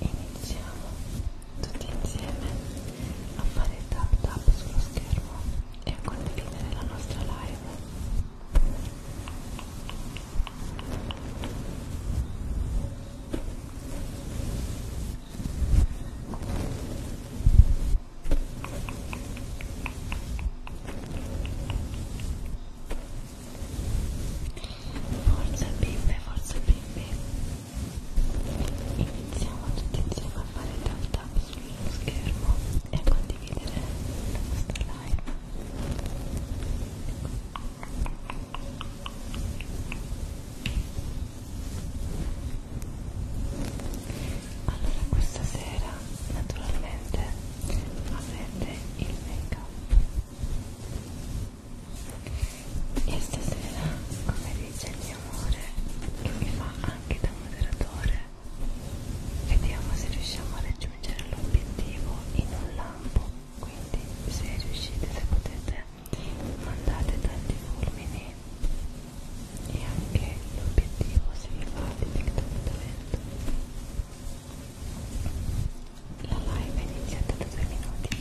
Iniziamo tutti insieme a fare tap tap sullo schermo e a condividere la nostra live. Forza bimbe, forza bimbe. Iniziamo tutti insieme a fare tap tap sullo schermo e a condividere la nostra live. Ecco allora questa sera naturalmente avete il make up e stasera come dice il mio amore che mi fa anche da moderatore vediamo se riusciamo a raggiungere l'obiettivo in un lampo quindi se riuscite se potete fondate tanti fulmini e anche l'obiettivo si rifà direttamente la live è iniziata da due minuti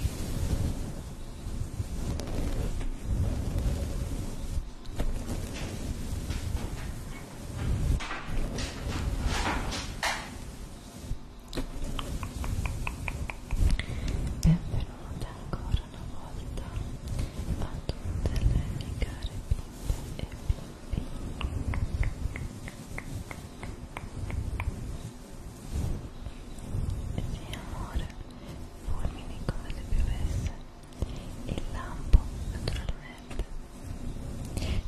benvenuta ancora ancora una volta a tutte le care bimbe e bimbi sì amore, fulmini come se piovesse il lampo naturalmente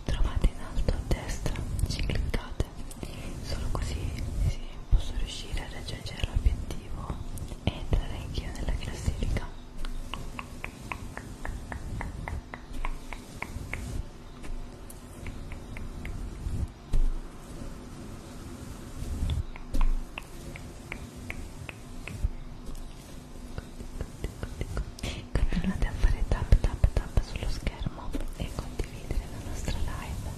trovate in alto a destra, ci cliccate solo così si posso riuscire a raggiungere l'obiettivo positivo e parecchio nella classifica continuate a fare tap tap tap sullo schermo e condividere la nostra live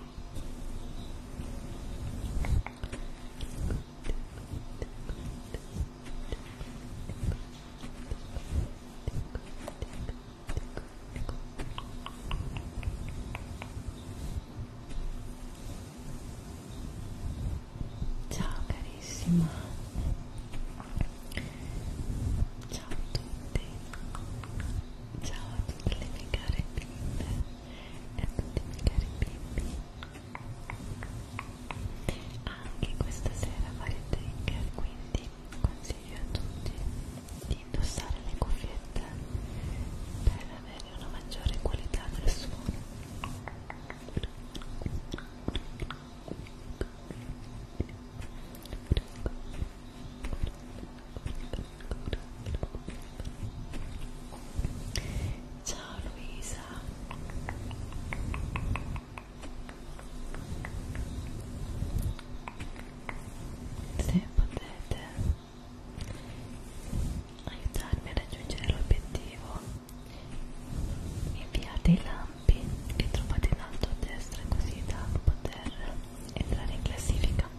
Ciao carissima, ciao a tutti. Ciao a tutte le mie care bimbe e a tutti i miei cari bimbi. Anche questa sera fare trigger, quindi consiglio a tutti di indossare le cuffiette per avere una maggiore qualità del suono. Ecco, Ciao Luisa. Se potete aiutarmi a raggiungere l'obiettivo, inviate i lampi che trovate in alto a destra così da poter entrare in classifica.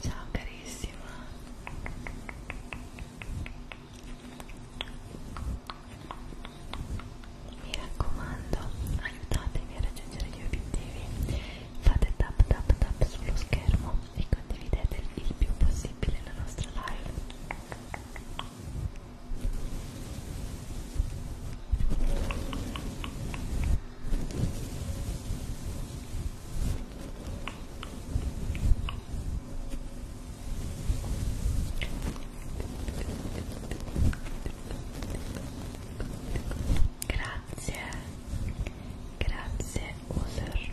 Ciao carissima. Mi raccomando, aiutatemi a raggiungere gli obiettivi. Fate tap tap tap sullo schermo e condividete il più possibile la nostra live. Grazie, grazie User.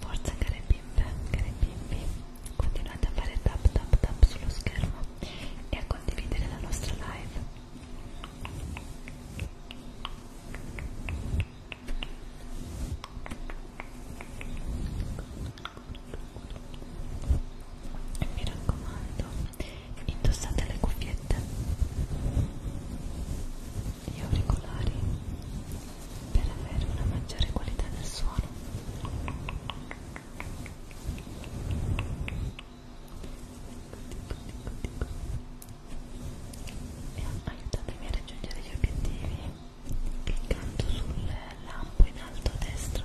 Forza care bimbe, care bimbi, continuate a fare tap tap tap sullo schermo e a condividere la nostra live. E mi raccomando, indossate le cuffiette gli auricolari per avere una maggiore qualità del suono e aiutatemi a raggiungere gli obiettivi cliccando sul lampo in alto a destra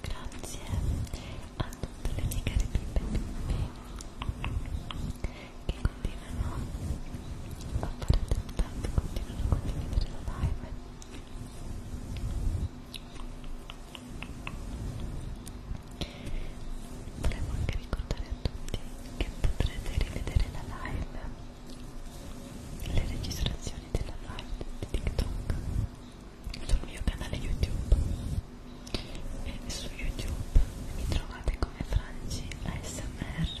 Grazie a tutte le mie care bimbe che continuano a fare tap tap, continuano a condividere la live. Volevo anche ricordare a tutti che potrete rivedere la live, le registrazioni della live di TikTok sul mio canale YouTube e su YouTube mi trovate come Franci ASMR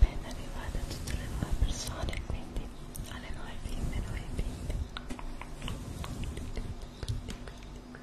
Ben arrivate a tutte le nuove persone, quindi alle nuove bimbe, nuove bimbe.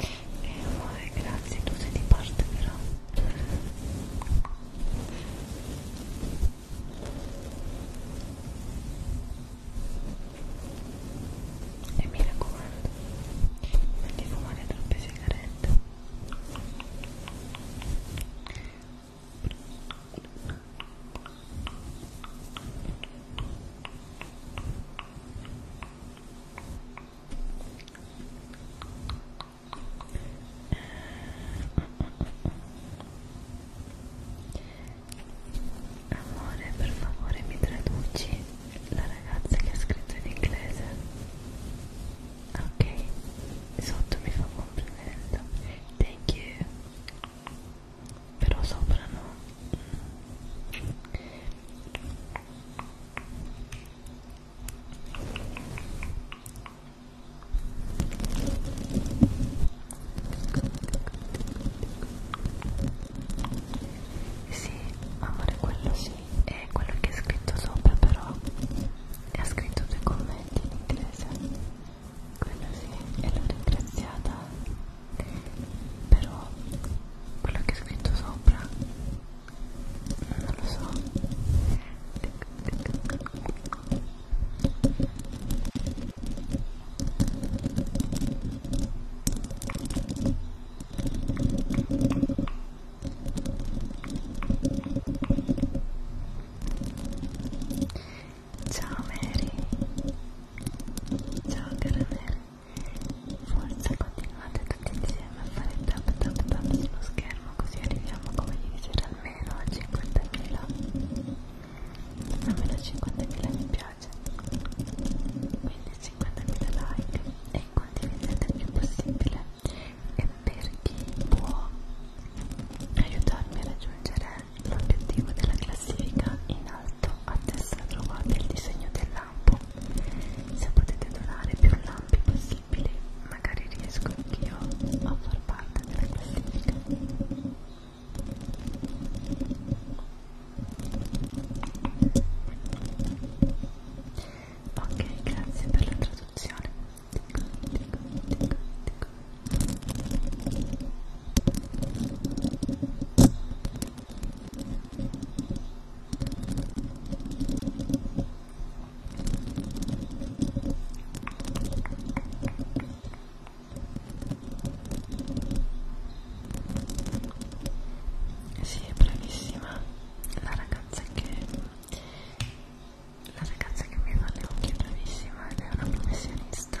E eh, amore, grazie, tu sei di parte però. E mi raccomando, non ti fumare troppe sigarette. Amore, per favore mi traduci la ragazza che ha scritto in inglese. Ok, sotto mi fa complimento. Thank you però sopra no sì, amore, quello sì, è quello che è scritto sopra però ha scritto due commenti in inglese quello sì, e l'ho ringraziata però quello che è scritto sopra non lo so Ciao Mary. Ciao cara Mary. Forza, continuate tutti insieme a fare tap tap tap sullo schermo così arriviamo, come vi dicevo, almeno a 50.000. Almeno a 50.000 mi piace. Quindi 50.000 like e condividete il più possibile. E per chi può aiutarmi a raggiungere L'obiettivo della classifica in alto a destra trovate il disegno del lampo. Se potete donare più lampi possibili, magari riesco anch'io a far parte della classifica. Ok, grazie per la traduzione. Dico, dico, dico, dico. Sì, è bravissima la ragazza che la ragazza che mi fa le occhie è bravissima ed è una professionista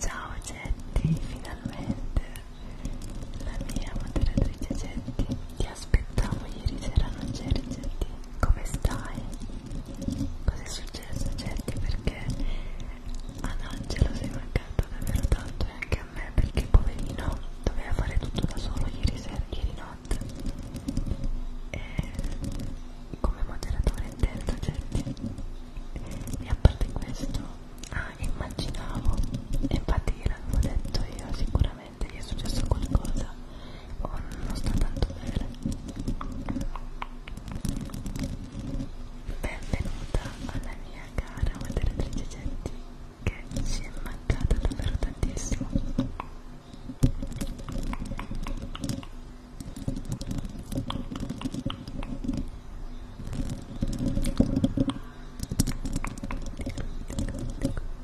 Ciao Getti, finalmente la mia moderatrice Getti, ti aspettavo ieri sera, non c'eri Getti come stai? Cos'è successo Cetti? Perché ad Angelo sei mancato davvero tanto e anche a me perché poverino doveva fare tutto da solo ieri sera, ieri notte e come moderatore intenso Cetti e a parte questo ah immaginavo e infatti gliel'avevo detto io sicuramente veramente gli è successo qualcosa o non sta tanto bene benvenuta alla mia cara moderatrice Getti che ci è mancata davvero tantissimo Dico, dico, dico.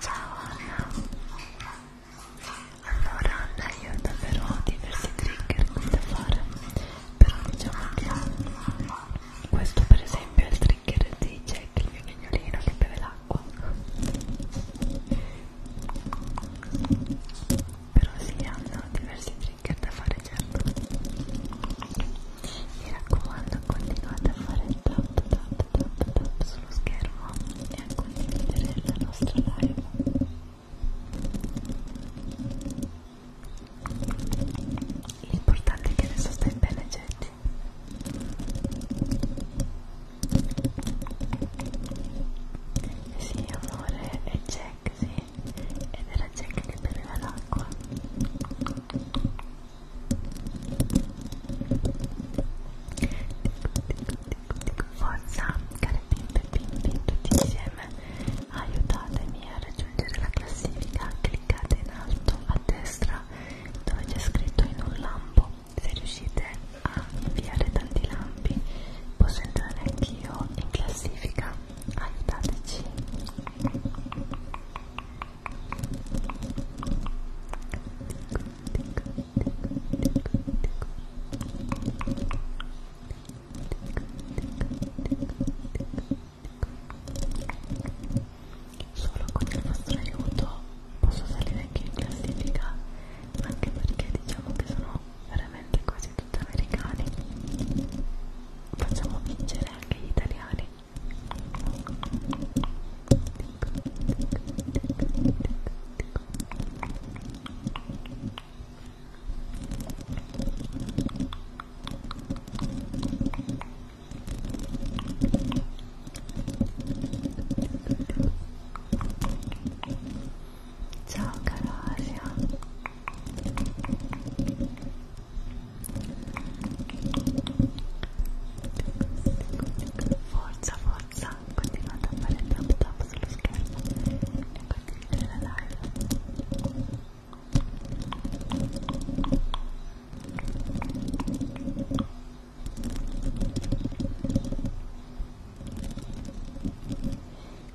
Ciao Anna Allora Anna io ho davvero diversi trigger da fare Però diciamo che questo per esempio è il trigger di Jack il mio cagnolino che beve l'acqua Però sì hanno diversi trigger da fare certo Mi raccomando continuate a fare tap tap tap tap sullo schermo e a condividere la nostra live l'importante è che adesso stai bene gente sì amore è Jack sì ed era Jack che beveva l'acqua Forza, care bimbe e bimbi, tutti insieme aiutatemi a raggiungere la classifica. Cliccate in alto a destra dove c'è scritto in un lampo. Se riuscite a inviare tanti lampi, posso entrare anch'io in classifica. Aiutateci. Solo con il vostro aiuto posso salire anche in classifica, anche perché diciamo che sono veramente quasi tutti americani. Facciamo vincere anche gli italiani. Ecco Ciao Calasia Forza, forza pazza continuate a fare tap tap sullo schermo e condividere la live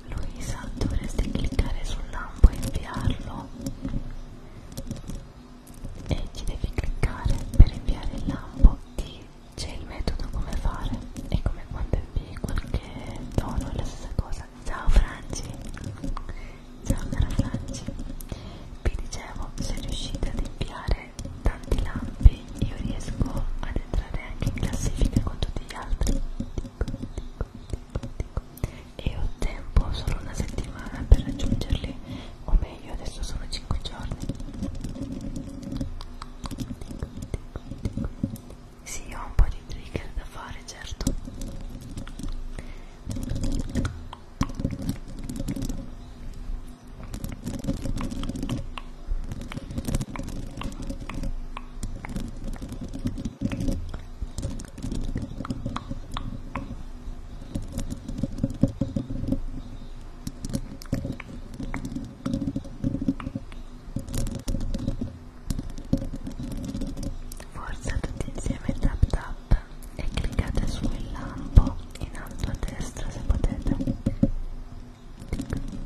Luisa dovresti cliccare sul lampo e inviarlo e ci devi cliccare per inviare il lampo ti c'è il metodo come fare e come quando invii qualche dono è la stessa cosa ciao Franci ciao cara Franci vi dicevo se riuscite ad inviare tanti lampi io riesco ad entrare anche in classifica con tutti gli altri dico, dico, dico, dico. e ho tempo solo una settimana per raggiungerli o meglio adesso sono 5 giorni sì ho un po' di trigger da fare certo Forza tutti insieme tap tap e cliccate sul lampo in alto a destra se potete.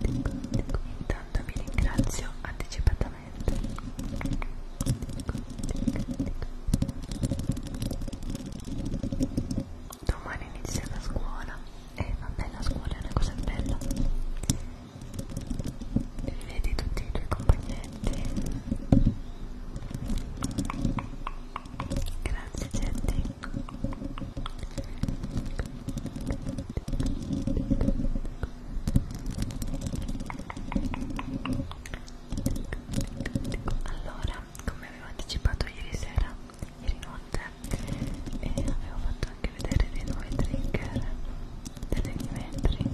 Intanto vi ringrazio anticipatamente. Tic, tic, tic domani inizia la scuola e eh, vabbè la scuola è una cosa bella vedi tutti i tuoi compagnetti grazie Getty allora come avevo anticipato ieri sera, ieri notte, e avevo fatto anche vedere dei nuovi trigger delle Dimetri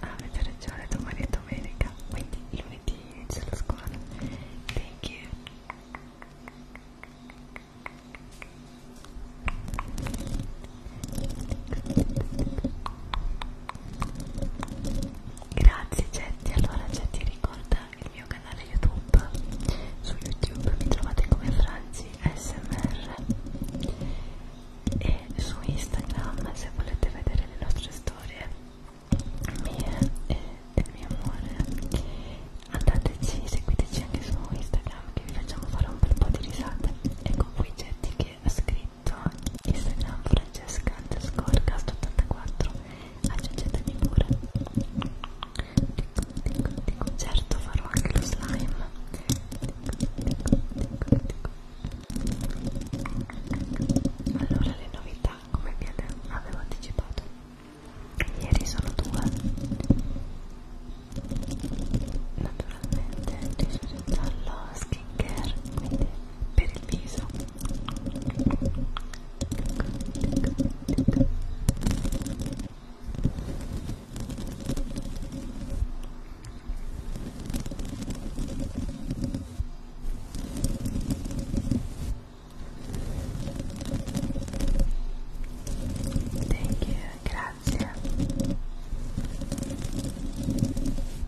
ah, avete ah, ragione, domani è domenica quindi lunedì inizia la scuola thank you Grazie Getty, allora Getty ricorda il mio canale YouTube, su YouTube mi trovate come Franci ASMR e su Instagram se volete vedere le nostre storie mie e del mio amore andateci, seguiteci anche su Instagram che vi facciamo fare un bel po' di risate. Ecco qui Getty che ha scritto commento Instagram Francesca Underscorecast 84 aggiungetemi pure certo farò anche lo slime allora le novità come vi avevo anticipato ieri sono due naturalmente riuscito giallo skin care quindi per il viso Thank you, grazie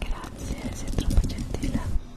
Grazie, sei troppo gentile.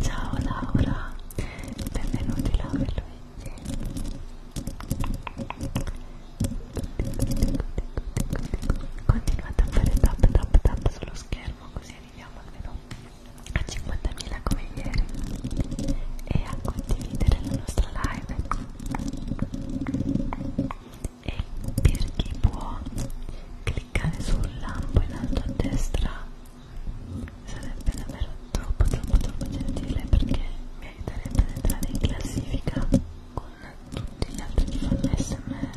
Ciao Laura, benvenuti Laura e Luigi. Continuate a fare tap tap tap sullo schermo così arriviamo almeno a 50.000 come ieri e a condividere la nostra live e per chi può cliccare sul lampo in alto a destra sarebbe davvero troppo troppo troppo gentile perché mi aiuterebbe ad entrare in classifica con tutti gli altri che fanno smr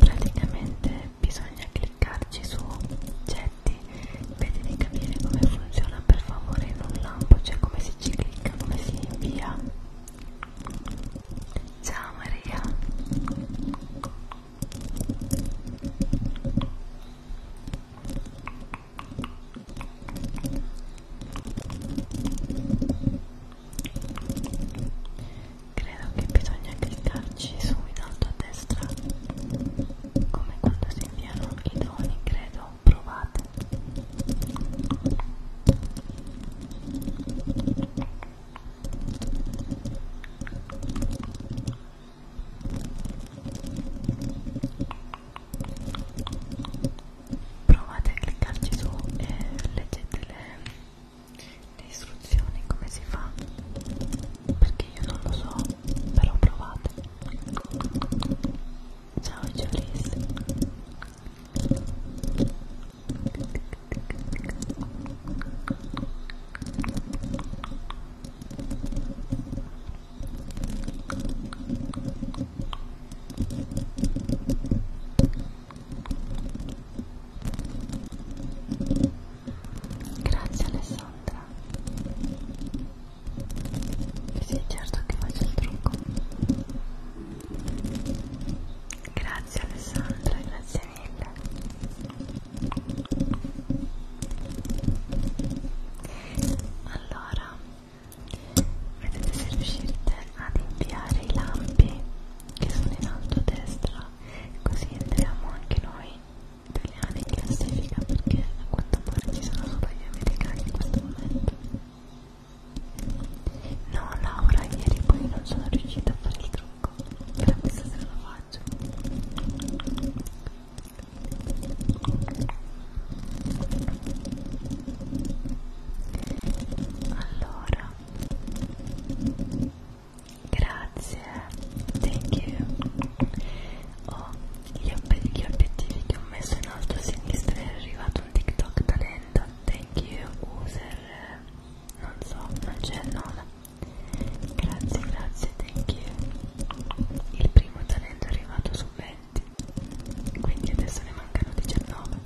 praticamente bisogna cliccarci su oggetti vedi di capire come funziona per favore in un lampo cioè come si ci clicca come si invia ciao Maria credo che bisogna cliccarci su in alto a destra come quando si inviano i doni credo provate provate a cliccarci su e leggete le, le istruzioni come si fa perché io non lo so però provate ciao Giulis Ciao Grazie Alessandra. Sì, certo che faccio il trucco. Grazie Alessandra, grazie mille. Allora vedete se riuscite ad inviare i lampi che sono in alto a destra così entriamo anche noi italiani in classifica perché a quanto pare ci sono solo gli americani in questo momento no Laura ieri poi non sono riuscita a fare il trucco però questa sera lo faccio allora grazie thank you oh, gli, ob gli obiettivi che ho messo in alto a sinistra è arrivato un tiktok talento thank you user non so non c'è il nome grazie grazie thank you il primo talento è arrivato su 20 quindi adesso ne mancano 19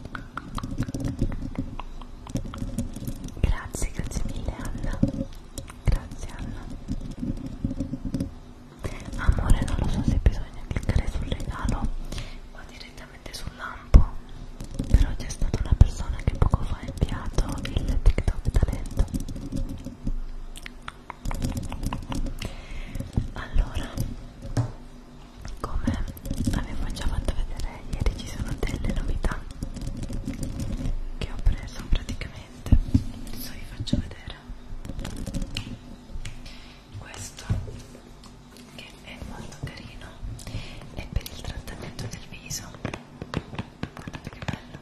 grazie grazie mille Anna grazie Anna amore non lo so se bisogna cliccare sul regalo o direttamente sul lampo però c'è stata una persona che poco fa ha inviato il tiktok talento allora come avevo già fatto vedere ieri ci sono delle novità che ho preso praticamente adesso vi faccio vedere questo che è molto carino è per il trattamento del viso guardate che bello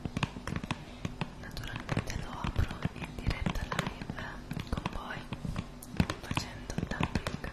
naturalmente lo apro in diretta live con voi facendo tapping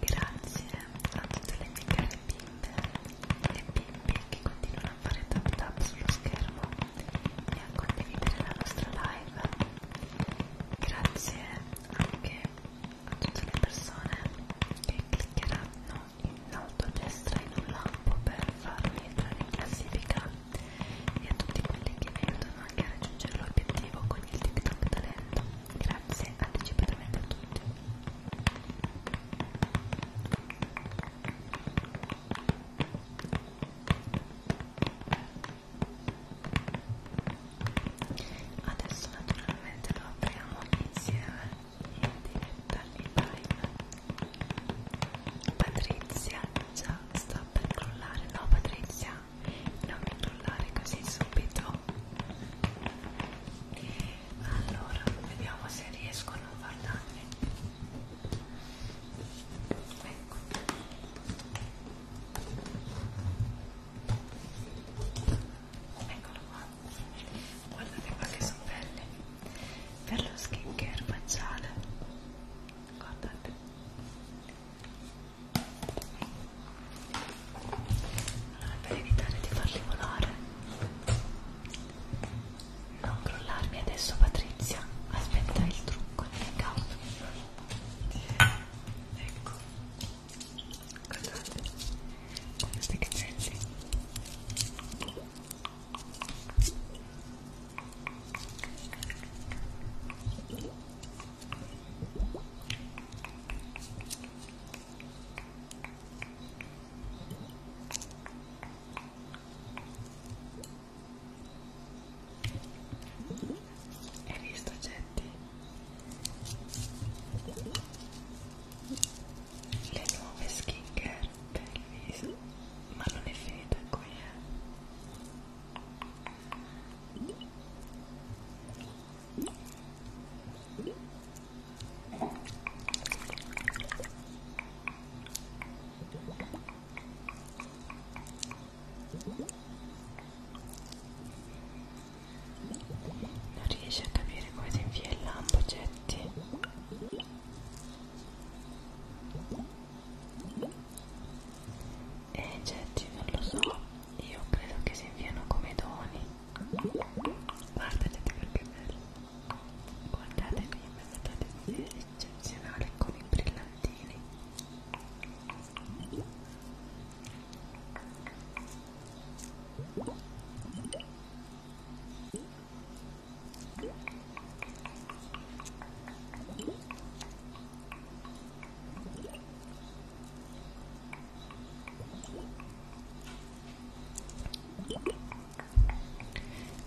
Grazie a tutte le mie care bimbe e bimbi che continuano a fare tap tap sullo schermo e a condividere la nostra live. Grazie anche a tutte le persone che cliccheranno in alto a destra in un lampo per farmi entrare in classifica e a tutti quelli che mi aiutano anche a raggiungere l'obiettivo con il TikTok talento. Grazie anticipatamente a tutti. Adesso naturalmente lo apriamo insieme in diretta in live. Patrizia già sta per crollare, no Patrizia, non mi crollare così subito allora vediamo se riesco a non far danni ecco eccolo qua guardate qua che sono belli per lo skin care facciale guardate allora, per evitare di farli volare, non crollarmi adesso, Patrizia. Aspetta il trucco di hangout. Ecco, guardate questi cazzetti. Hai visto gente? Le nuove skincare per il viso, ma non è finita qui eh? Non riesci a capire come si invia il lampo, Getty? Eh, Getty, non lo so io credo che si inviano come doni guardate perché bello guardate qui mi vedete eccezionale con i brillantini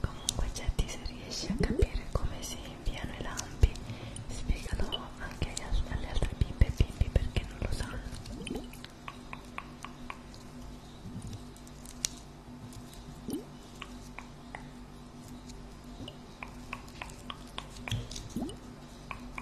Comunque Jetty se riesci a capire come si inviano i lampi spiegalo anche alle altre bimbe e bimbi perché non lo sanno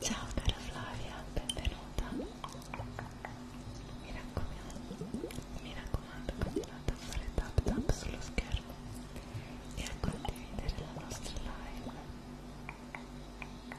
Ciao cara Flavia, benvenuta. Mi raccomando, mi raccomando, continuate a fare tap tap sullo schermo e a condividere la nostra live.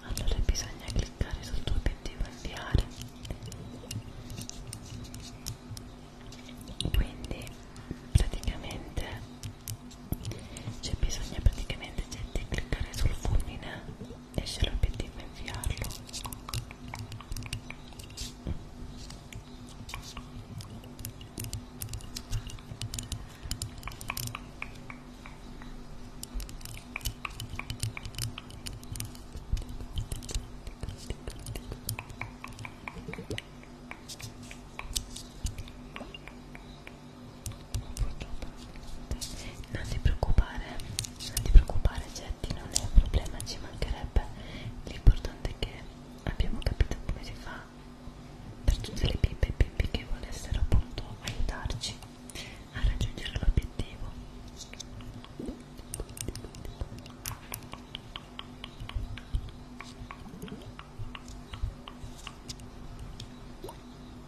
allora bisogna cliccare sul tuo obiettivo inviare quindi praticamente c'è bisogno praticamente di cliccare sul fulmine e se l'obiettivo è inviarlo non ti preoccupare non ti preoccupare Getty non è un problema ci mancherebbe l'importante è che abbiamo capito come si fa per tutte le pippe e pippe che volessero appunto aiutarci a raggiungere l'obiettivo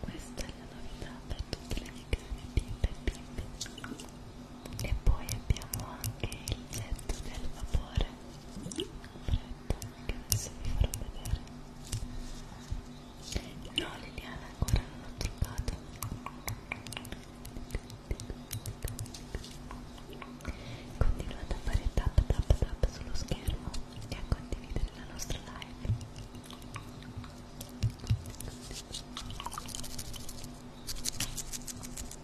questa è la novità per tutte le mie care bimbe e bimbi e poi abbiamo anche il letto del vapore freddo che adesso vi farò vedere no Liliana ancora non l'ho trovato continuate a fare tap tap tap sullo schermo e a condividere la nostra live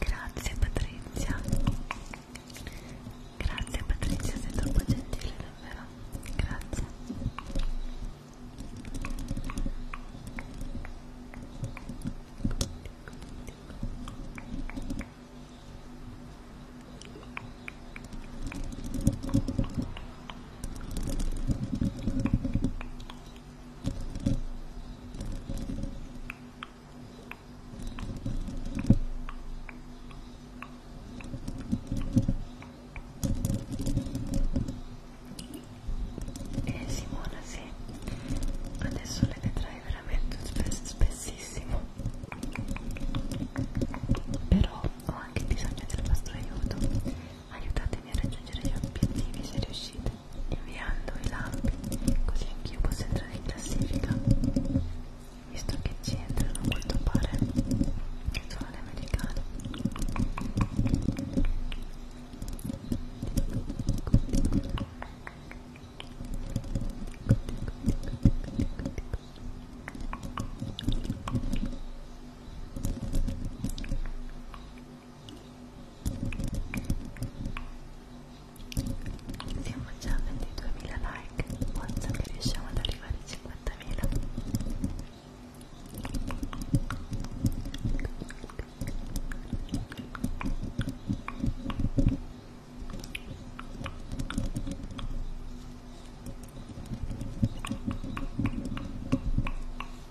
Grazie Patrizia. Grazie Patrizia, sei troppo gentile davvero. Grazie. Grazie e Simona sì, adesso le vedrai veramente spess spessissimo, però ho anche bisogno del vostro aiuto, aiutatemi a raggiungere gli obiettivi se riuscite inviando i lampi così anch'io posso entrare in classifica visto che ci entrano a quanto pare solo le americane Siamo già a 22.000 like, forza che riusciamo ad arrivare ai 50.000 Ciao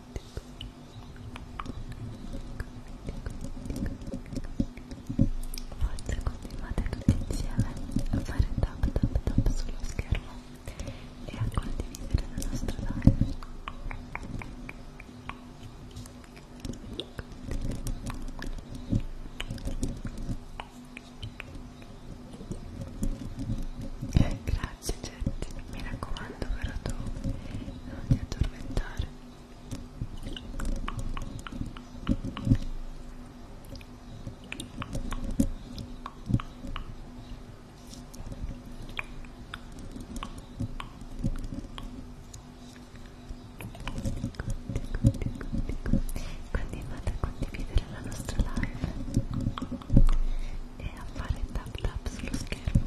Forza, continuate tutti insieme a fare tap tap tap sullo schermo e a condividere la nostra live. Grazie facce Jetty, mi raccomando però tu non ti addormentare continuate a condividere la nostra live e a fare tap tap sullo schermo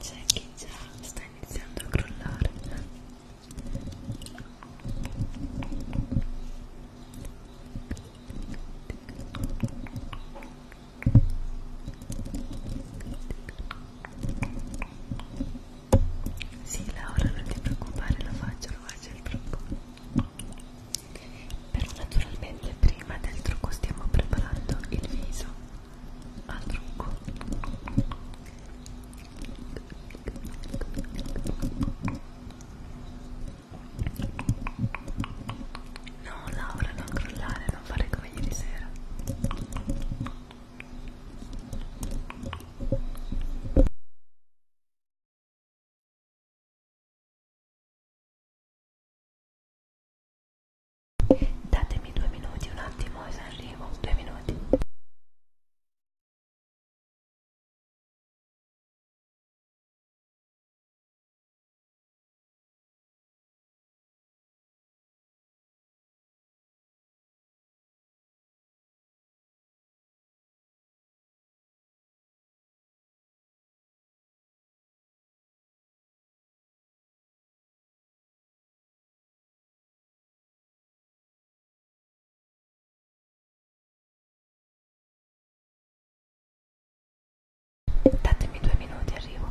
c'è chi già sta iniziando a crollare sì Laura non ti preoccupare lo faccio lo faccio il troppo però naturalmente prima del trucco stiamo preparando il viso al trucco no Laura non crollare non fare come ieri sera Datemi due minuti, un attimo e arrivo, due minuti. Datemi due minuti, arrivo.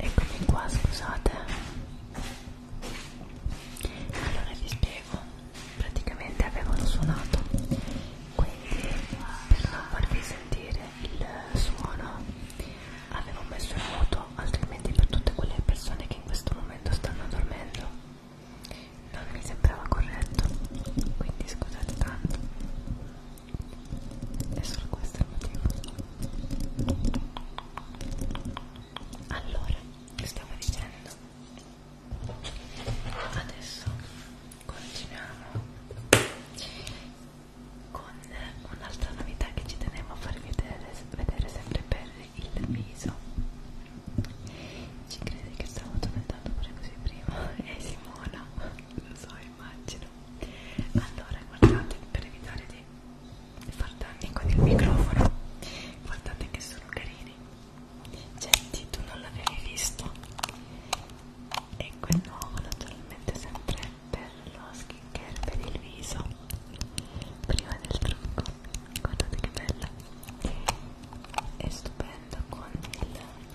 Eccomi qua, scusate allora vi spiego praticamente avevano suonato quindi per non farvi sentire il suono avevo messo il muto altrimenti per tutte quelle persone che in questo momento stanno dormendo non mi sembrava corretto quindi scusate tanto è solo questo il motivo allora stavo dicendo adesso continuiamo con un'altra novità che ci tenevo a farvi vedere, vedere sempre per il viso ci credi che stavo tormentando pure così prima e Simona lo so immagino allora guardate per evitare di far danni con il microfono guardate che sono carini Gente, tu non l'avevi visto e quel nuovo naturalmente sempre per lo skincare per il viso prima del trucco guardate che bella è stupenda con il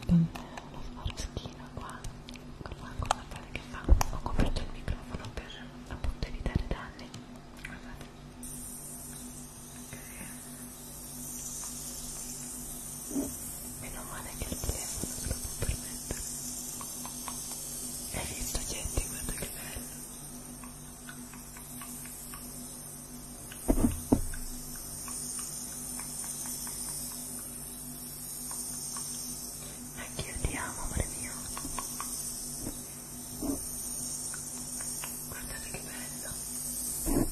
con la forchina qua con la guardate che fa ho coperto il microfono per appunto evitare danni meno male che il telefono se lo può permettere hai visto gente guarda che bello anche io ti amo amore mio guardate che bello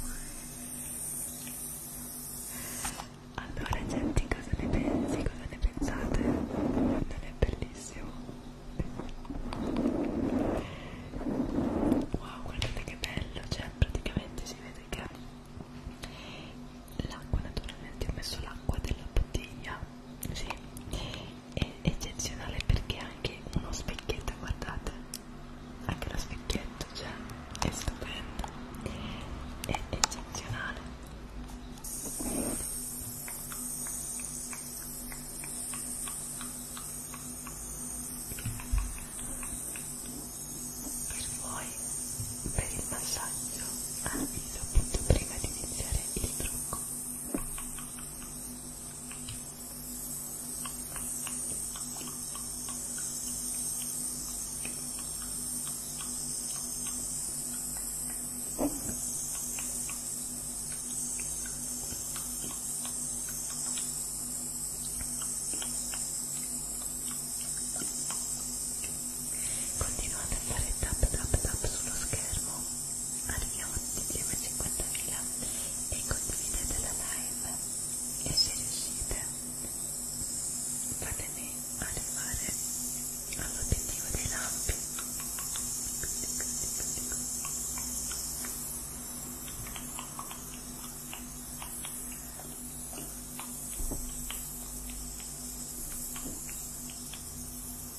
allora gente cosa ne pensi cosa ne pensate non è bellissimo wow guardate che bello cioè praticamente si vede che l'acqua naturalmente ho messo l'acqua della bottiglia sì è eccezionale perché ha anche uno specchietto guardate anche lo specchietto cioè è stupendo è eccezionale per voi per il massaggio avviso appunto prima di iniziare il trucco Continuate a fare tap tap tap sullo schermo arriviamo insieme a 50.000 e condividete la live e se riuscite fatemi arrivare all'obiettivo dei lampi Grazie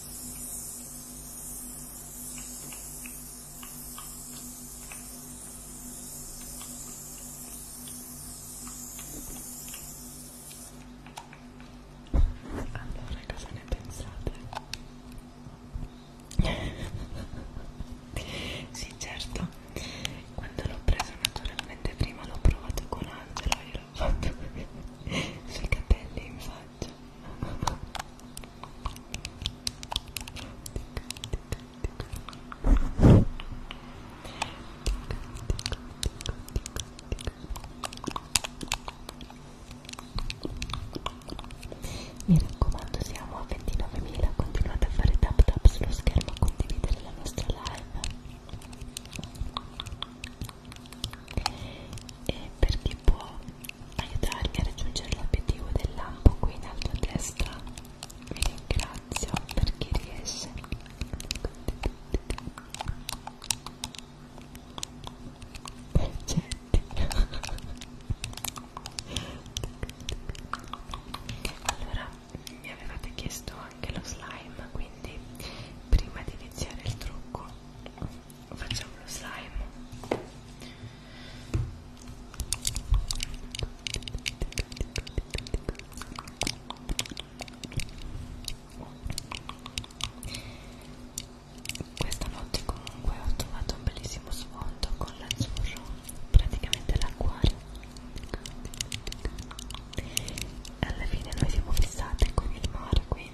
allora, cosa ne pensate? sì, certo, quando l'ho preso naturalmente prima l'ho provato con Angelo e l'ho fatto sui capelli in faccia mi raccomando, siamo a 29.000, continuate a fare tap tap sullo schermo, a condividere la nostra live e perché può aiutarvi a raggiungere l'obiettivo del lampo qui in alto a destra vi ringrazio per chi riesce Percetti. allora mi avevate chiesto anche lo slime quindi prima di iniziare il trucco facciamo lo slime questa notte comunque ho trovato un bellissimo sfondo con l'azzurro praticamente l'acquario alla fine noi siamo fissate con il mare quindi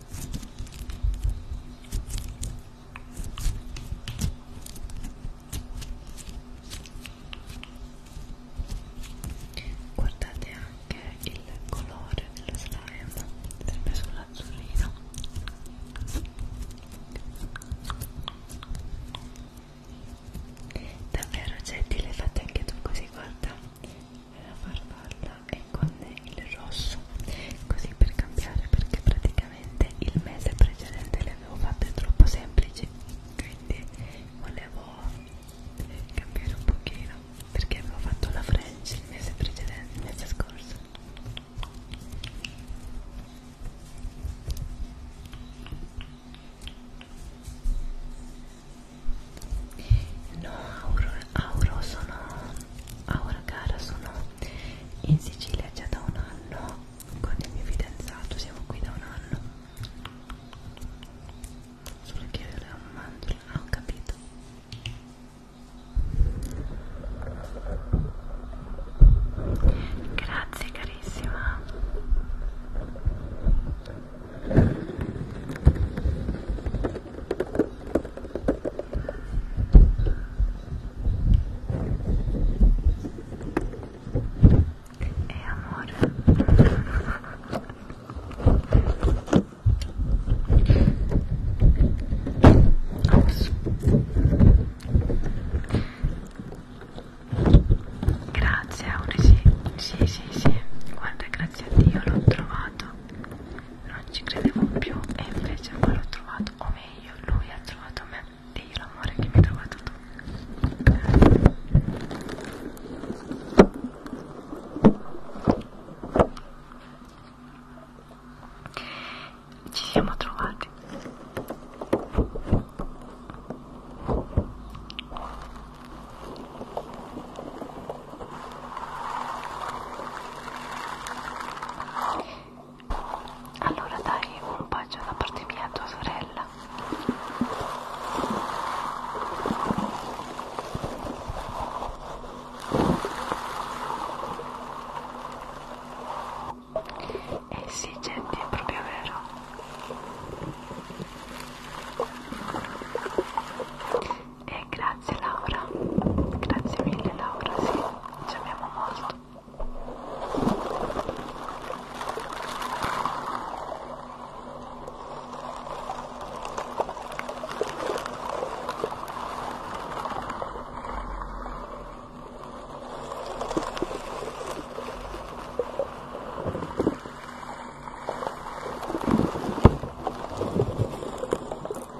Guardate anche il colore dello slime, sempre sull'azzurrino. Davvero Jetty le fate anche tu così, guarda la farfalla e con il rosso così per cambiare perché praticamente il mese precedente le avevo fatte troppo semplici quindi volevo eh, cambiare un pochino perché avevo fatto la french il mese precedente, il mese scorso No, Auro, Auro sono Ah, ora cara sono in Sicilia già da un anno con il mio fidanzato, siamo qui da un anno. Solo che io la mandorla, ah, ho capito. Grazie carissima. E amore Ops. Grazie Auri, sì, sì, sì, sì, guarda, grazie a Dio l'ho trovato non ci credevo più e invece poi l'ho trovato, o meglio, lui ha trovato me e io l'amore che mi hai trovato tu. Ci siamo trovati. Allora dai un bacio da parte mia a tua sorella. Eh sì, gente, è proprio vero. E grazie Laura, grazie mille Laura, sì, ci abbiamo molto. Amore,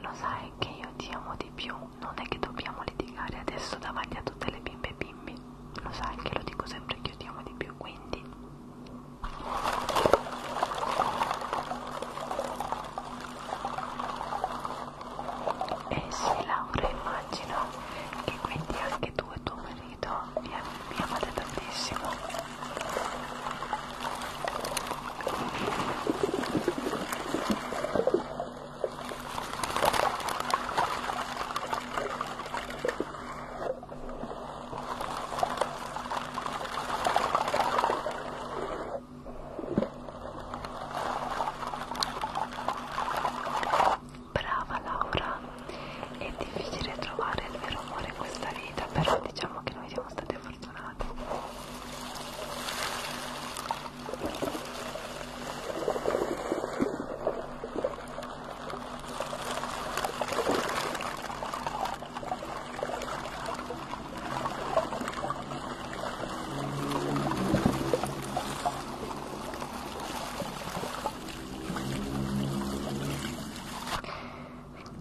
lo sai che io ti amo di più, non è che dobbiamo litigare adesso davanti a tutte le bimbe e bimbi, lo sai che lo dico sempre che io ti amo di più, quindi e sì Laura immagino che quindi anche tu e tuo marito mi, mi amate tantissimo Brava Laura, è difficile trovare il vero amore in questa vita, però diciamo che noi siamo state fortunate.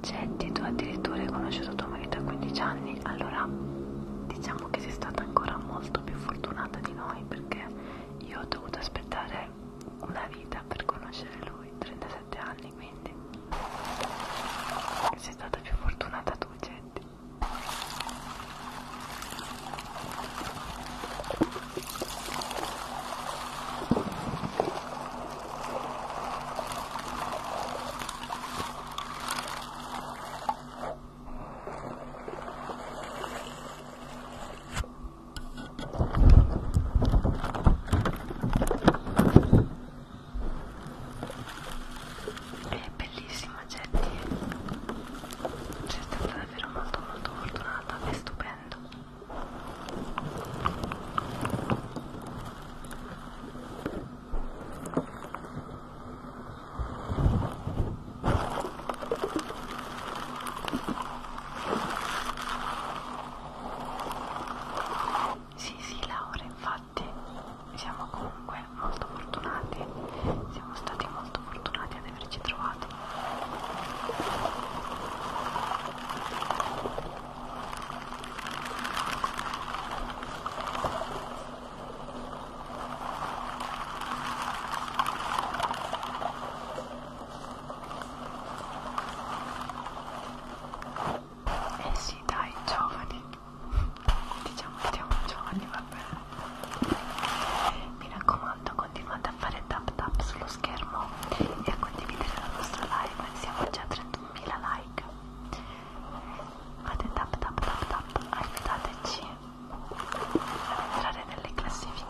Cetti, tu addirittura hai conosciuto tua marito a 15 anni, allora diciamo che sei stata ancora molto più fortunata di noi perché io ho dovuto aspettare una vita per conoscere lui, 37 17 anni quindi sei stata più fortunata tu Jetty è bellissima Jetty sei stata davvero molto molto fortunata è stupendo sì, sì, Laura, infatti siamo comunque molto fortunati, siamo stati molto fortunati ad averci trovato. Eh sì, dai, giovani. Diciamo che siamo giovani, va bene. Mi raccomando, continuate a fare tap tap sullo schermo e a condividere la nostra live. Siamo già a 31.000 like. Fate tap tap tap tap, aiutateci ad entrare nelle classifiche.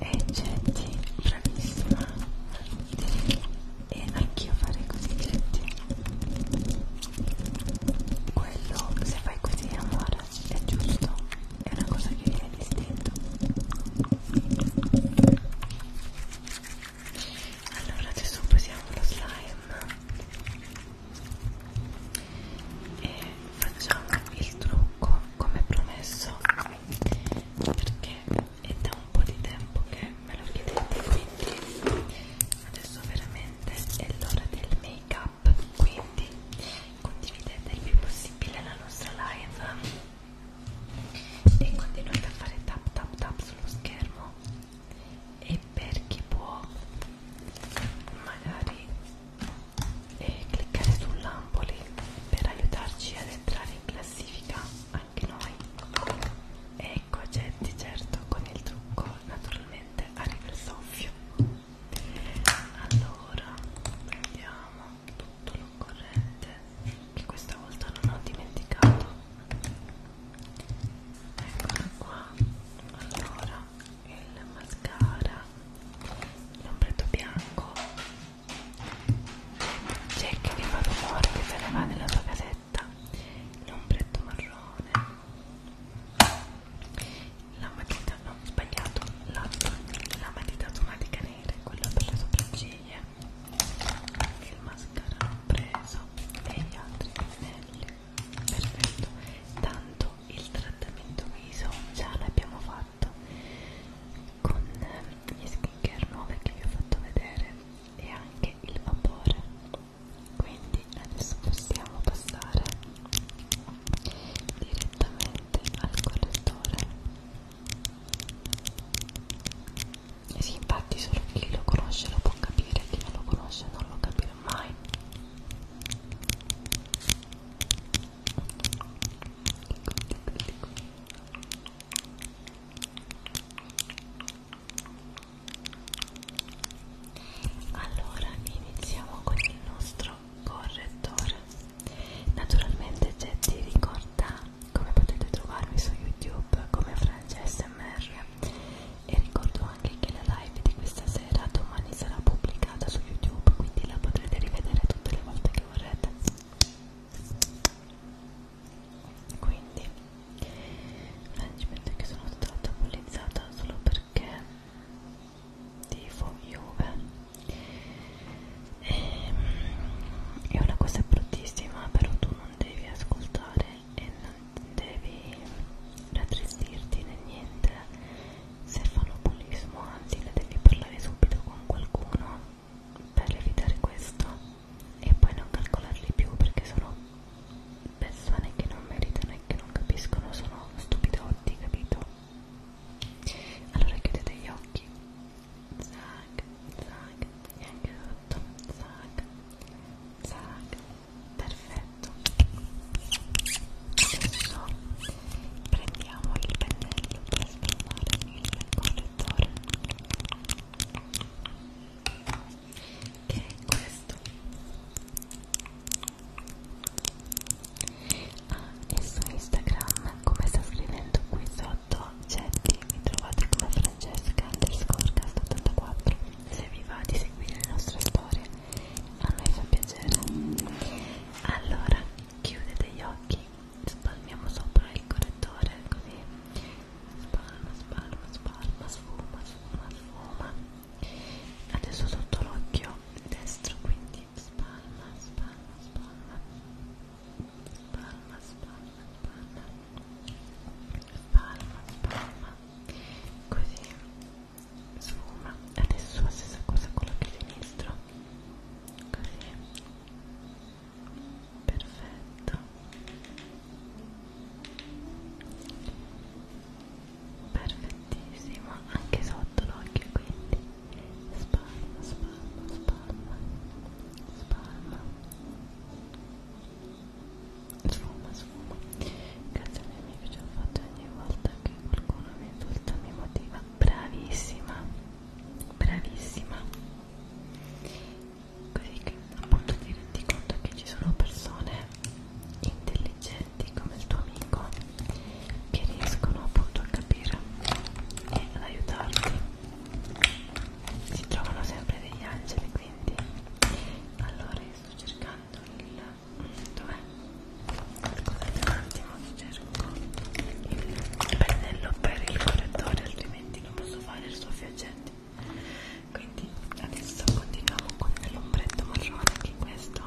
e Getty, bravissima e anch'io farei così Getty quello se fai così amore è giusto, è una cosa che viene distinto. Allora adesso posiamo lo slime e facciamo il trucco come promesso perché è da un po' di tempo che me lo chiedete quindi adesso veramente è l'ora del make up quindi condividete il più possibile la nostra live e continuate a fare tap tap tap sullo schermo e per chi può magari eh, cliccare sull'ampoli per aiutarci ad entrare in classifica anche noi ecco gente certo con il trucco naturalmente arriva il soffio allora vediamo tutto l'occorrente che questa volta non ho dimenticato eccolo qua allora il mascara l'ombretto bianco c'è che vi fa rumore che se ne va nella sua casetta l'ombretto marrone la matita matita, no, sbagliato, la, la matita automatica nera, quella per le sopracciglia, il mascara preso e gli altri pennelli, perfetto, tanto il trattamento viso già l'abbiamo fatto con gli skincare nuove che vi ho fatto vedere e anche il vapore, quindi adesso possiamo passare direttamente al correttore e sì infatti solo chi lo conosce lo può capire chi non lo conosce non lo capirà mai allora iniziamo con il nostro correttore naturalmente Jetty ricorda come potete trovarmi su youtube come francesmr e ricordo anche che la live di questa sera domani sarà pubblicata su youtube quindi la potrete rivedere tutte le volte che vorrete quindi francamente che sono stata bullizzata solo perché tifo Juve e, ehm, è una cosa bruttissima però tu non devi ascoltare e non devi rattristirti né niente se fanno bullismo anzi ne devi parlare subito con qualcuno per evitare questo e poi non calcolarli più perché sono persone che non meritano e che non capiscono sono stupidotti capito allora chiudete gli occhi zac zac e anche sotto zac zac perfetto adesso prendiamo il pennello per sformare il correttore che è questo e su Instagram come sta scrivendo qui sotto Cetti mi trovate come Francesca underscore 84 se vi va di seguire le nostre storie a noi fa piacere allora chiudete gli occhi spalmiamo sopra il correttore così spalma spalma spalma sfuma sfuma sfuma adesso sotto l'occhio destro quindi quindi spalma, spalma, spalma spalma, spalma, spalma spalma, spalma così sfuma adesso la stessa cosa con l'occhio sinistro così perfetto perfettissimo anche sotto l'occhio quindi spalma, spalma, spalma, spalma, sfuma, sfuma. Grazie a un amico ci ho fatto ogni volta che qualcuno mi insulta mi motiva. Bravissima, bravissima. Così che appunto ti rendi conto che ci sono persone intelligenti come il tuo amico che riescono appunto a capire e ad aiutarti si trovano sempre degli angeli quindi allora io sto cercando il dov'è? scusate un attimo cerco il pennello per il correttore altrimenti non posso fare il soffiacente quindi adesso continuiamo con l'ombretto marrone che è questo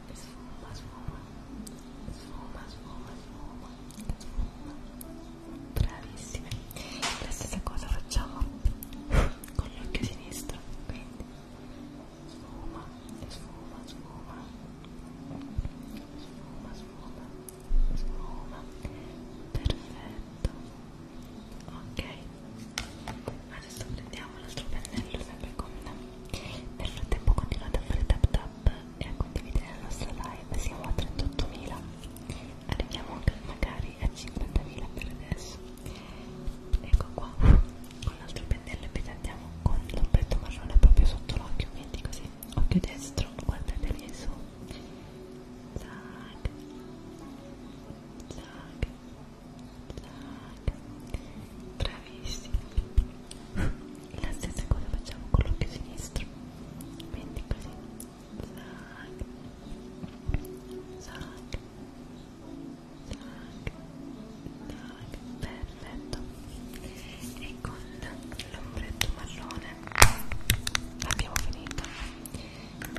sfuma, sfuma, sfuma, sfuma, sfuma, sfuma. Bravissime. La stessa cosa facciamo con l'occhio sinistro, quindi sfuma, sfuma, sfuma, sfuma, sfuma, sfuma. Perfetto. Ok. Adesso prendiamo l'altro pennello sempre con nel frattempo continuate a fare tap tap e a condividere la nostra live, siamo a 38.000, arriviamo anche magari a 50.000 per adesso. Ecco qua, con l'altro pennello epitantiamo con l'ombretto marrone proprio sotto l'occhio, quindi così, occhio destro, guardate lì su. Zac, zac, zac. Bravissimi la stessa cosa facciamo con l'occhio sinistro quindi così zac zac zac zac perfetto e con l'ombretto marrone abbiamo finito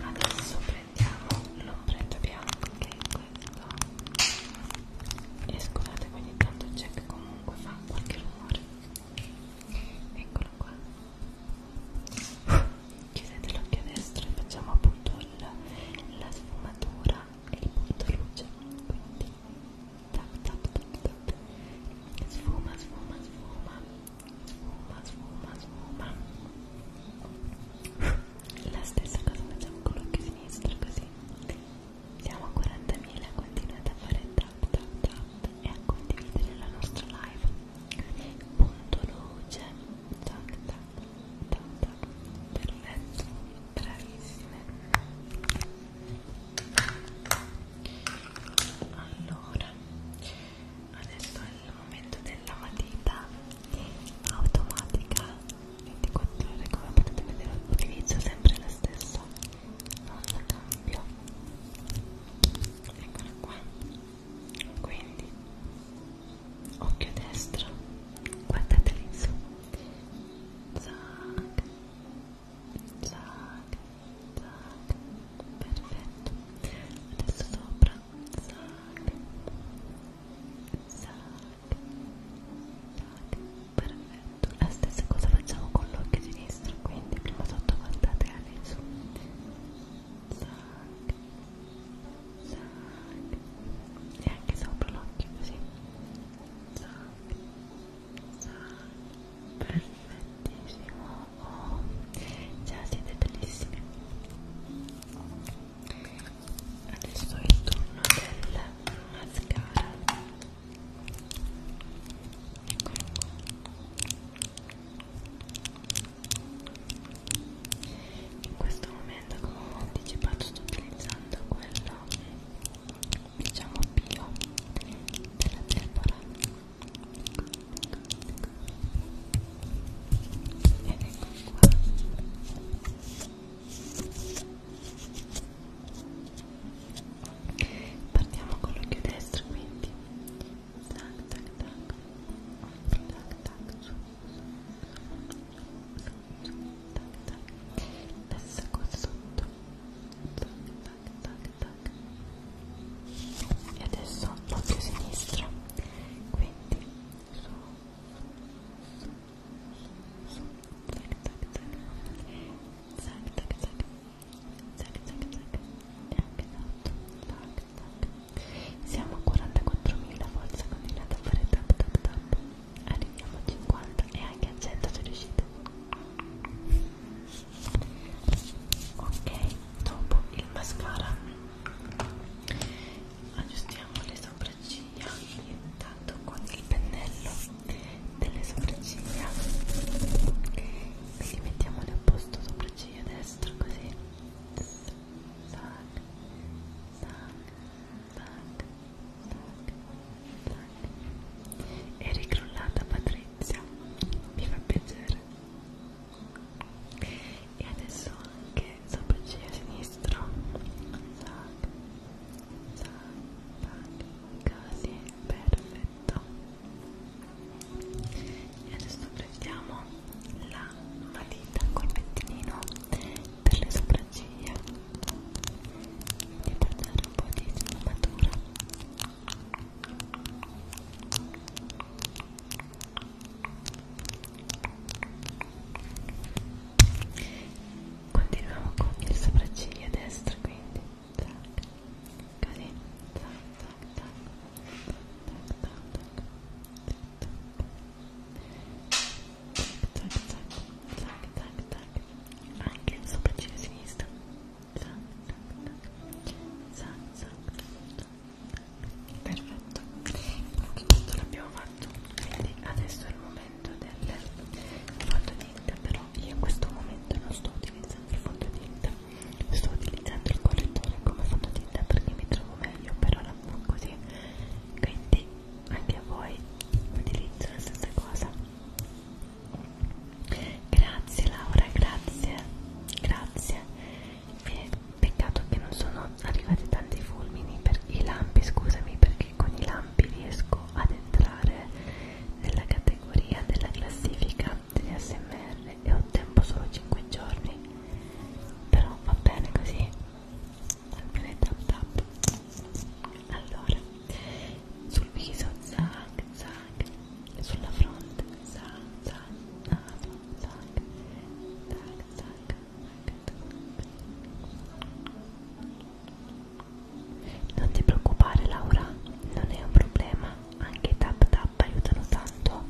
adesso prendiamo l'ombretto bianco che è questo e scusate ogni tanto c'è che comunque fa qualche rumore eccolo qua chiudete l'occhio destro e facciamo appunto il, la sfumatura e il punto luce quindi tap tap tap tap sfuma sfuma sfuma sfuma sfuma sfuma la stessa cosa facciamo con l'occhio sinistro così siamo a 40.000, continuate a fare tap tap tap e a condividere la nostra live. Punto luce, tac tac tac tac, perfetto, bravissime. Allora, adesso è il momento della matita automatica 24 ore, come potete vedere utilizzo sempre la stessa non cambio eccola qua quindi occhio destro guardate lì su zac zac zac perfetto adesso sopra zac zac zac perfetto la stessa cosa facciamo con l'occhio sinistro quindi prima sotto guardate all'insù zac zac e anche sopra l'occhio così zac zac perfettissimo oh, già siete bellissimi adesso è il turno del mascara in questo momento come ho anticipato sto utilizzando quello diciamo bio della tempora ed ecco qua partiamo con l'occhio destro quindi tac tac tac tac tac su, su, su, su, tac tac adesso qua sotto tac tac tac e adesso l'occhio sinistro quindi su, su, su, su, tac tac tac tac tac tac zac zac zac e anche sotto zac zac siamo a 44.000 forza continuate a fare tap tap tap arriviamo a 50 e anche a 100 se riuscite ok dopo il mascara aggiustiamo le sopracciglia intanto con il pennello delle sopracciglia quindi mettiamole a posto sopracciglia destra così tac tac tac tac tac e ricrollata Patrizia mi fa piacere e adesso anche sopracciglia sinistro tac tac tac così perfetto fatto e adesso prendiamo la matita col pettinino per le sopracciglia di portare un po' di sfumatura continuiamo con il sopracciglia destra quindi zac, così, zac, zac, zac, zac, zac, zac, zac, zac, zac, zac, zac, anche il sopracciglia sinistro, zac, zac, zac, zac, zac, perfetto, anche questo l'abbiamo fatto, quindi adesso è il momento del foto di per io in questo momento non sto utilizzando il fondotinta sto utilizzando il correttore come fondotinta perché mi trovo meglio per ora così quindi anche a voi utilizzo la stessa cosa grazie Laura grazie grazie e peccato che non sono arrivati tanti fulmini per i lampi scusami perché con i lampi riesco ad entrare nella categoria della classifica degli ASMR e ho tempo solo 5 giorni però va bene così almeno tap tap allora sul viso zac zac sulla fronte zac zac naso ah, zac zac zac zac zac non ti preoccupare Laura, non è un problema, anche i tap tap aiutano tanto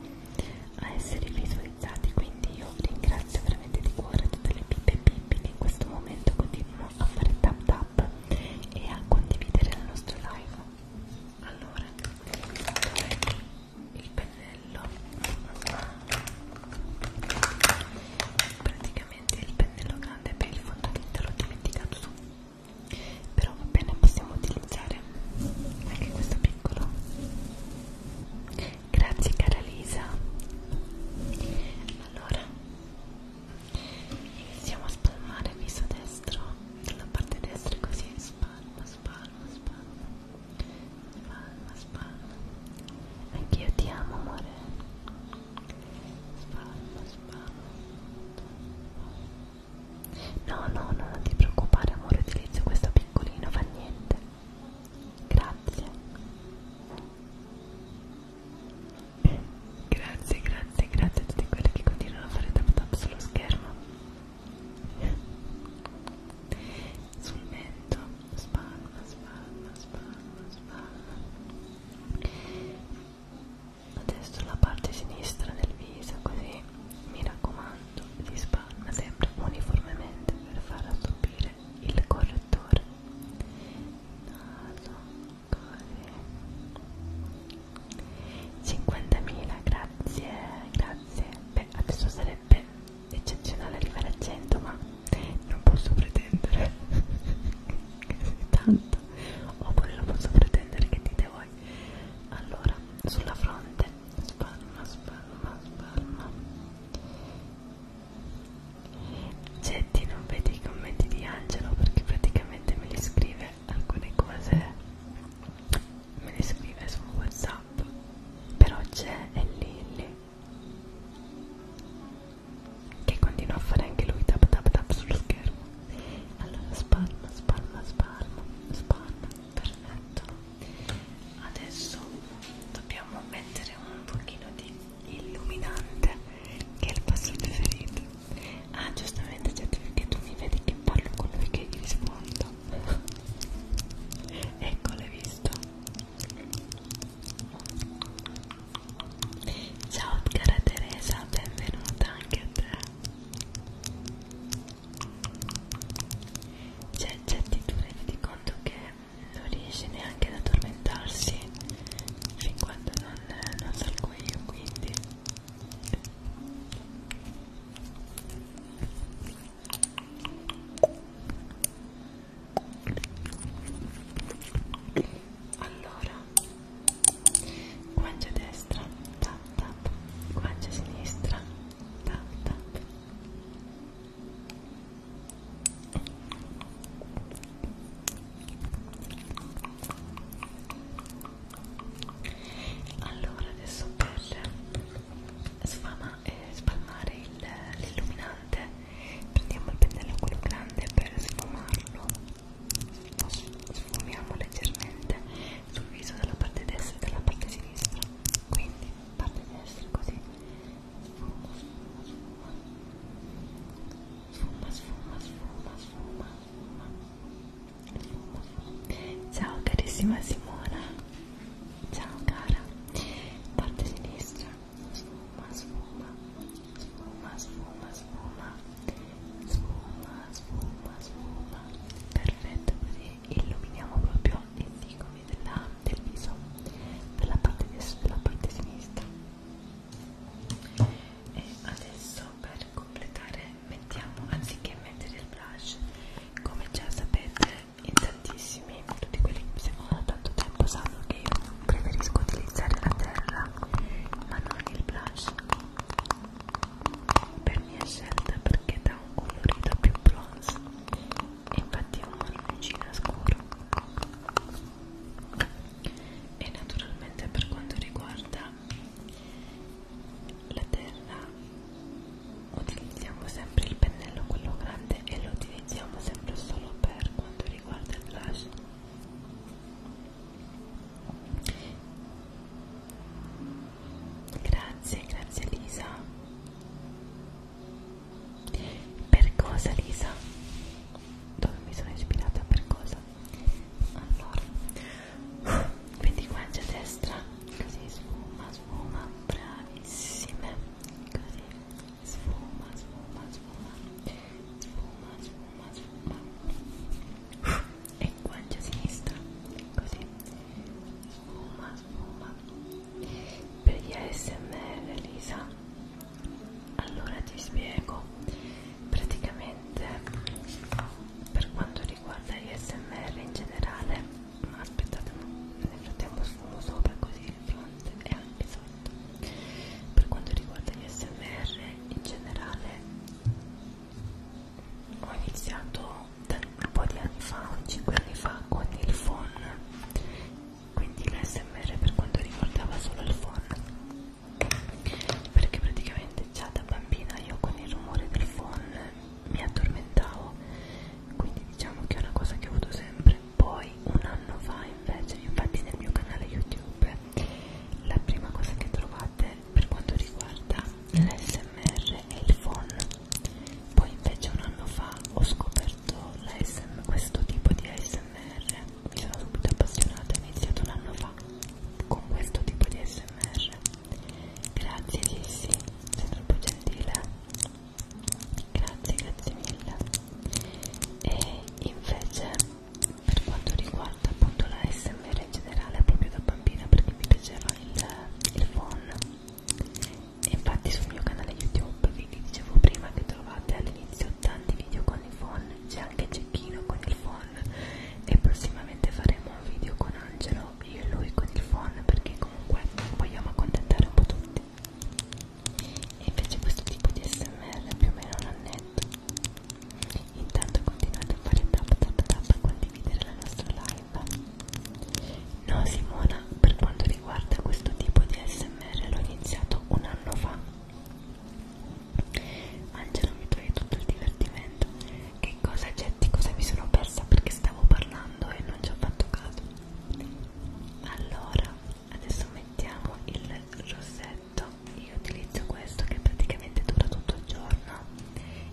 a essere visualizzati, quindi io ringrazio veramente di cuore tutte le pippe pippe che in questo momento continuano a fare tap tap e a condividere il nostro live. Allora, il pennello praticamente il pennello grande per il fondo che te l'ho dimenticato su però va bene possiamo utilizzare anche questo piccolo grazie cara Lisa allora iniziamo a spalmare il viso destro dalla parte destra così spalma spalma spalma spalma spalma anch'io ti amo amore spalma, spalma. No, no, no, non ti preoccupare, amore, utilizzo questo piccolino, fa niente. Grazie. grazie, grazie, grazie a tutti quelli che continuano a fare tap tap sullo schermo. Sul mento, spalma, spalma, spalma, spalma adesso la parte sinistra del viso così mi raccomando si spanna sempre uniformemente per far assorbire il correttore naso così 50.000 grazie grazie beh adesso sarebbe eccezionale arrivare a 100 ma non posso pretendere tanto oppure lo posso pretendere che dite voi allora sulla fronte spalma spalma spalma Getti non vedi i commenti di Angelo perché praticamente me li scrive alcune cose me le scrive su whatsapp però c'è e Lilly che continua a fare anche lui tap tap tap sullo schermo allora spalma spalma spalma spalma perfetto adesso dobbiamo mettere un pochino di illuminante che è il passo preferito ah giustamente certo perché tu mi vedi che parlo con lui che gli rispondo ecco l'hai visto Ciao cara Teresa, benvenuta anche a te. C'è Getty, tu rendi conto che non riesce neanche ad addormentarsi fin quando non, non salgo io, quindi allora guancia destra tap tap guancia sinistra tap tap allora adesso per sfama, eh, spalmare l'illuminante prendiamo il pennello quello grande per sfumarlo sfumiamo leggermente sul viso dalla parte destra e dalla parte sinistra quindi parte destra così sfuma sfuma sfuma sfuma sfuma sfuma sfuma sfuma sfuma sfuma ciao carissima Simona ciao cara parte sinistra sfuma sfuma sfuma, sfuma, sfuma, sfuma, sfuma, sfuma, perfetto così illuminiamo proprio i zigomi della, del viso, della parte, della parte sinistra. E adesso per completare mettiamo, anziché mettere il blush, come già sapete in tantissimi, tutti quelli che mi seguono da tanto tempo sanno che io preferisco utilizzare la terra ma non il blush per mia scelta perché dà un colorito più bronze infatti è un marroncino scuro e naturalmente per quanto riguarda la terra utilizziamo sempre il pennello quello grande e lo utilizziamo sempre solo per quanto riguarda il blush Grazie, grazie Lisa. Per cosa Lisa? Dove mi sono ispirata per cosa? Allora, quindi guancia a destra, così sfuma, sfuma, bravissime, così sfuma, sfuma, sfuma, sfuma, sfuma, sfuma e guancia a sinistra così fuma fuma per gli ASMR Lisa allora ti spiego praticamente per quanto riguarda gli ASMR in generale ma aspettate nel frattempo sfumo sopra così il fronte e anche sotto per quanto riguarda gli ASMR in generale ho iniziato un po' di anni fa, 5 anni fa con il phone quindi l'SMR per quanto riguardava solo il phone perché praticamente già da bambina io con il rumore del phone mi addormentavo quindi diciamo che è una cosa che ho avuto sempre poi un anno fa invece infatti nel mio canale youtube la prima cosa che trovate per quanto riguarda l'ASMR e il phon poi invece un anno fa ho scoperto questo tipo di ASMR mi sono subito appassionata ho iniziato un anno fa con questo tipo di ASMR grazie Sissi sei troppo gentile grazie grazie mille e invece per quanto riguarda appunto la SMR in generale proprio da bambina perché mi piaceva il, il phone e infatti sul mio canale YouTube vi dicevo prima che trovate all'inizio tanti video con i phone c'è anche Cecchino con il phone e prossimamente faremo un video con Angelo io e lui con il phone perché comunque vogliamo accontentare un po' tutti e invece questo tipo di smr più o meno non netto Intanto continuate a fare tap tap tap a condividere la nostra live. No Simona, per quanto riguarda questo tipo di smr l'ho iniziato un anno fa. Angelo mi toglie tutto il divertimento. Che cosa Getti? Cosa mi sono persa perché stavo parlando e non ci ho fatto caso? Allora, adesso mettiamo il rossetto letto io utilizzo questo che praticamente dura tutto il giorno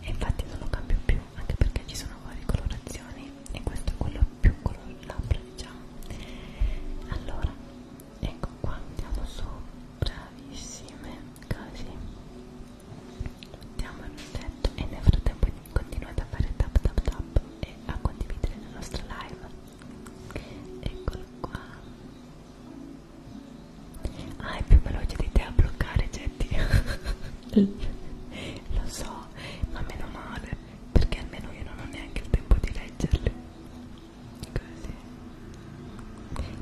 e infatti non lo cambio più anche perché ci sono varie colorazioni e questo è quello più color labbra diciamo allora ecco qua andiamo su bravissime così mettiamo il rossetto e nel frattempo continuate a fare tap tap tap e a condividere la nostra live eccolo qua Ah, è più veloce di te a bloccare, Getty. Lo so, ma meno male, perché almeno io non ho neanche il tempo di leggerli. Così.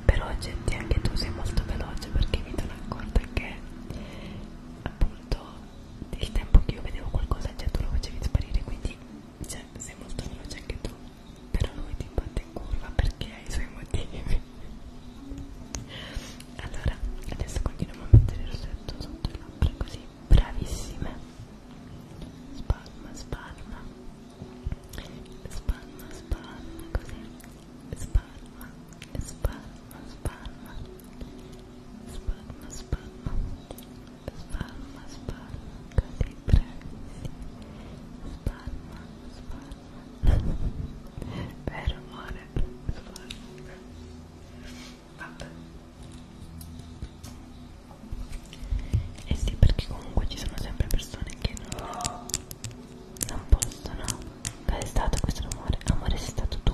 Però Getty, anche tu sei molto veloce perché mi sono accorta che appunto il tempo che io vedevo qualcosa già tu lo facevi sparire, quindi cioè, sei molto veloce anche tu però lui ti batte in curva perché ha i suoi motivi allora adesso continuiamo a mettere il rossetto sotto le labbra così bravissime spalma spalma spalma spalma così spalma spalma spalma spalma spalma spalma spalma così bravissime spalma spalma vero amore vabbè eh sì perché comunque ci sono sempre persone che non, non possono dove è stato questo amore? amore sei stato tu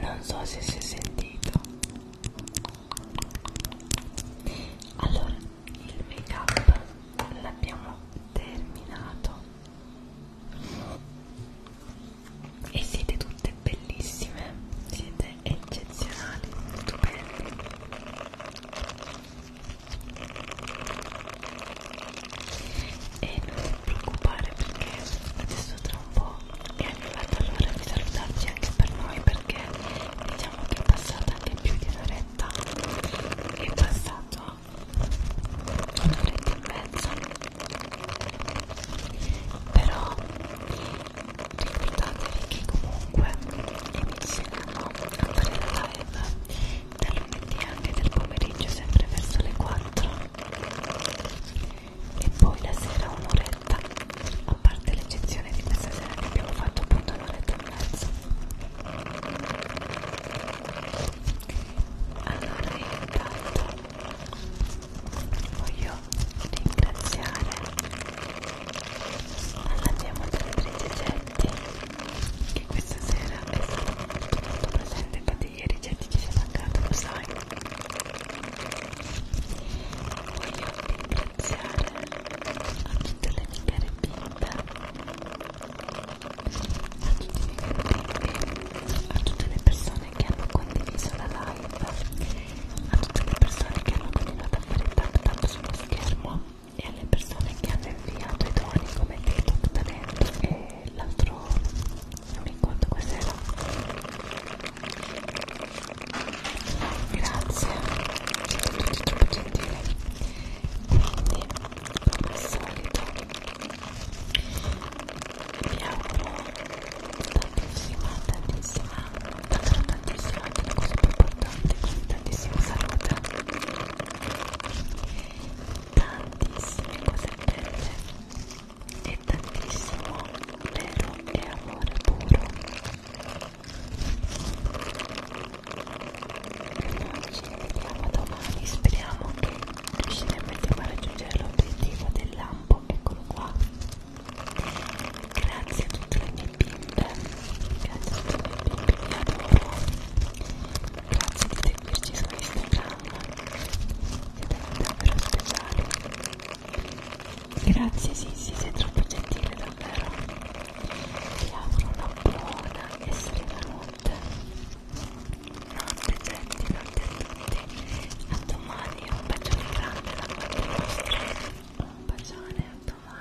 non so se si è sentito allora il make up l'abbiamo terminato e siete tutte bellissime siete eccezionali stupende e non ti preoccupare perché adesso tra un po' è arrivata l'ora di salutarci anche per noi perché diciamo che è passata anche più di un'oretta è passato un'oretta e mezza però ricordatevi che comunque inizi seguiamo andare in live dal lunedì anche del pomeriggio sempre verso le 4 e poi la sera un'oretta a parte l'eccezione di questa sera che abbiamo fatto appunto un'oretta e mezza allora io intanto voglio ringraziare abbiamo altri ricetti che questa sera è stato molto molto presente infatti ieri Getti ci sei mancato lo sai voglio ringraziare a tutte le mie care bimbe a tutti i miei bimbi a tutte le persone che hanno condiviso la live a tutte le persone che hanno continuato a fare tap tap sullo schermo e alle persone che hanno inviato i doni come TikTok Talento e l'altro non mi ricordo cos'era grazie siete tutti troppo gentili quindi come al solito vi auguro tantissima tantissima tanta tantissimo, è una cosa più importante, quindi tantissima salute, tantissime cose belle e tantissimo vero e amore puro. Noi ci vediamo domani, speriamo che riusciremo a raggiungere l'obiettivo del lampo, eccolo qua. Grazie a tutte le mie bimbe grazie di seguirci su Instagram siete davvero speciali grazie Sissi sì, sì, sei troppo gentile davvero vi auguro una buona e serena notte notte gente notte a tutti a domani un bacione grande da parte vostra un bacione a domani